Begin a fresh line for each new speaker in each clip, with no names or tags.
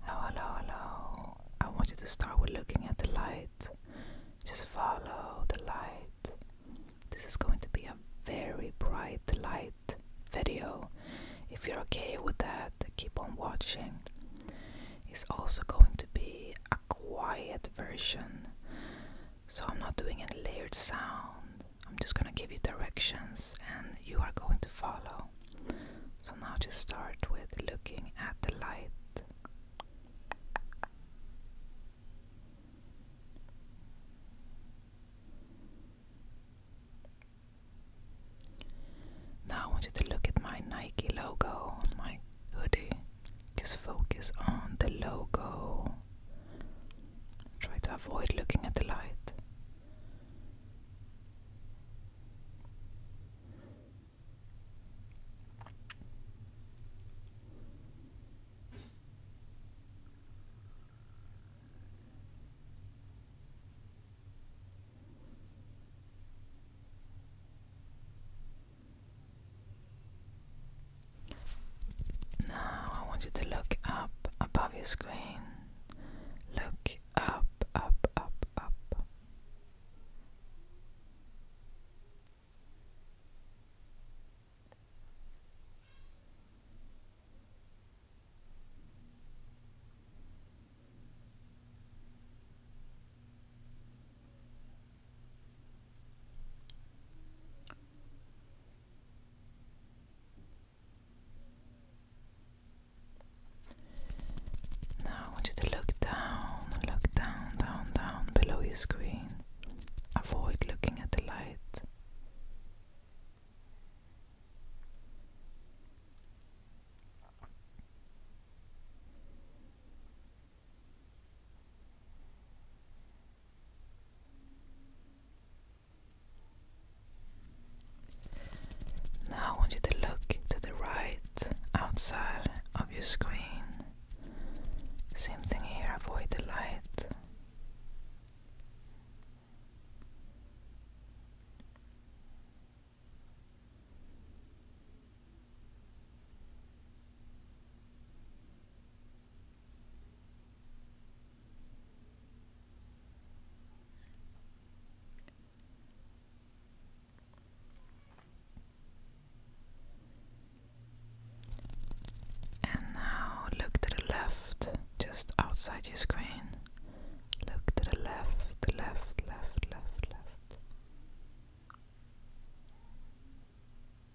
Hello, hello, hello. I want you to start with looking at the light. Just follow the light. This is going to be a very bright light video. If you're okay with that, keep on watching. It's also going to be a quiet version. So I'm not doing any layered sound. I'm just gonna give you directions and you are going to follow. So now just start with looking at the light. Now I want you to look at my Nike logo on my hoodie. Just focus on the logo. Try to avoid looking at the light. Now I want you to look up above your screen. Look up, up, up, up. Now I want you to look down, look down, down, down below your screen. Avoid looking at the light. Now I want you to look to the right outside of your screen. Same thing here, avoid the light. And now look to the left, just outside your screen. Look to the left, left, left, left, left.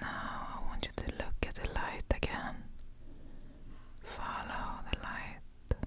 Now I want you to look at the light again. Follow the light.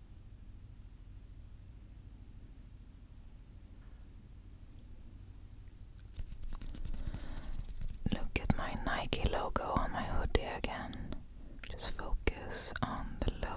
Look at my Nike logo on my hoodie again. Just focus on the logo.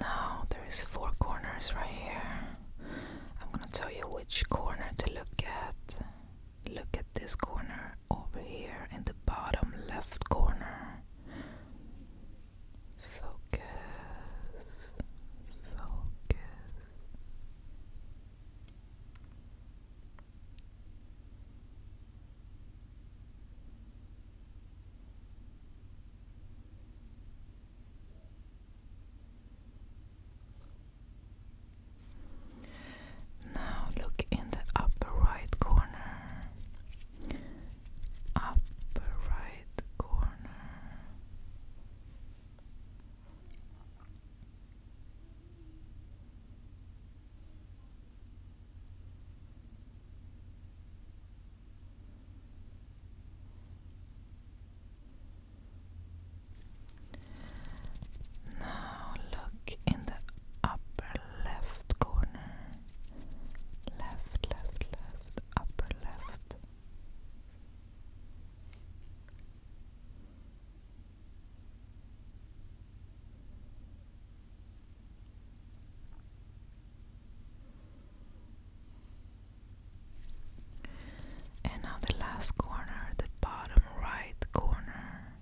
Now there is four corners right here. I'm going to tell you which corner to look at. Look at this corner over here in the bottom left corner. Focus, focus. Now look in the upper right corner upper right corner. Now look in the upper left corner left, left, left, upper left. And now the last corner, the bottom right corner.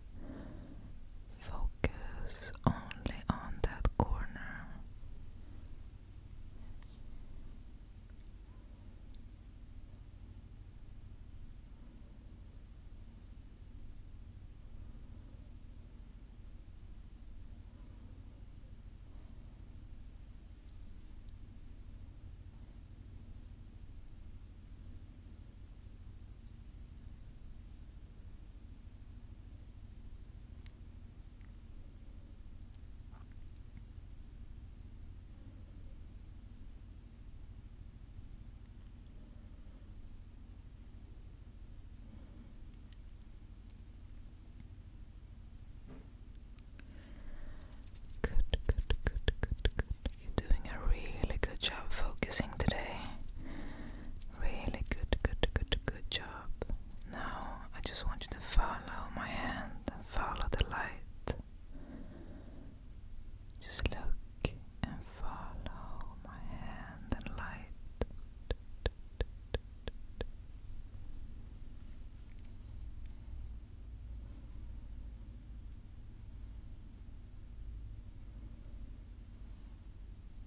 Focus only on that corner. Good, good, good, good, good. You're doing a really good job focusing today. Really good, good, good, good job. Now I just want you to follow my hand and follow the light. Just look and follow my hand and light.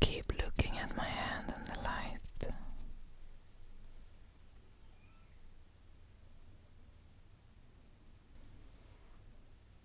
Keep looking at my hand in the light.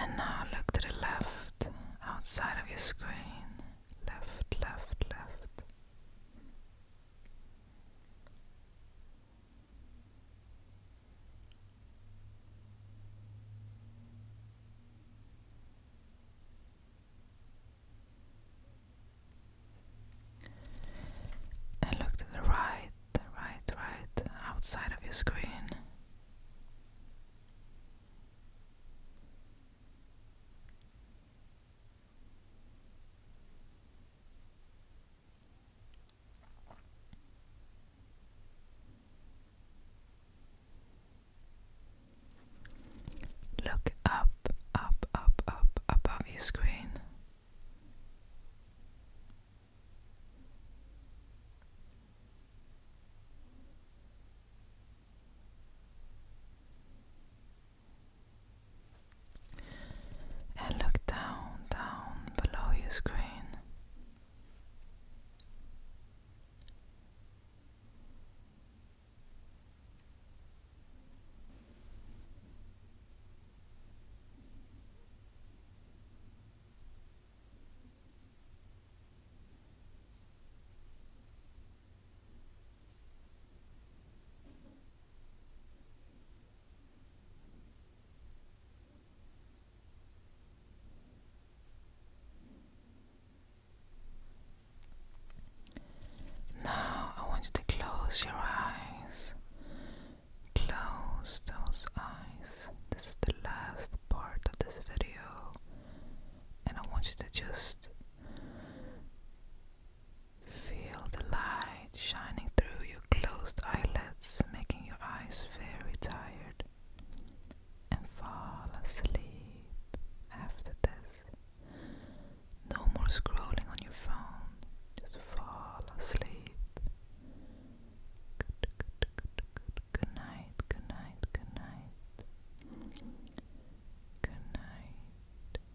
And now look to the left, outside of your screen. Left, left, left. And look to the right, right, right, outside of your screen. Look up, up, up, up, above your screen. And look down, down below your screen. Now I want you to close your eyes Close those eyes. This is the last part of this video, and I want you to just feel the light shining through your closed eyelids, making your eyes very tired, and fall asleep after this. No more scrolling on your phone. Just fall asleep. Good, good, good, good, good night, good night, good night. Good night.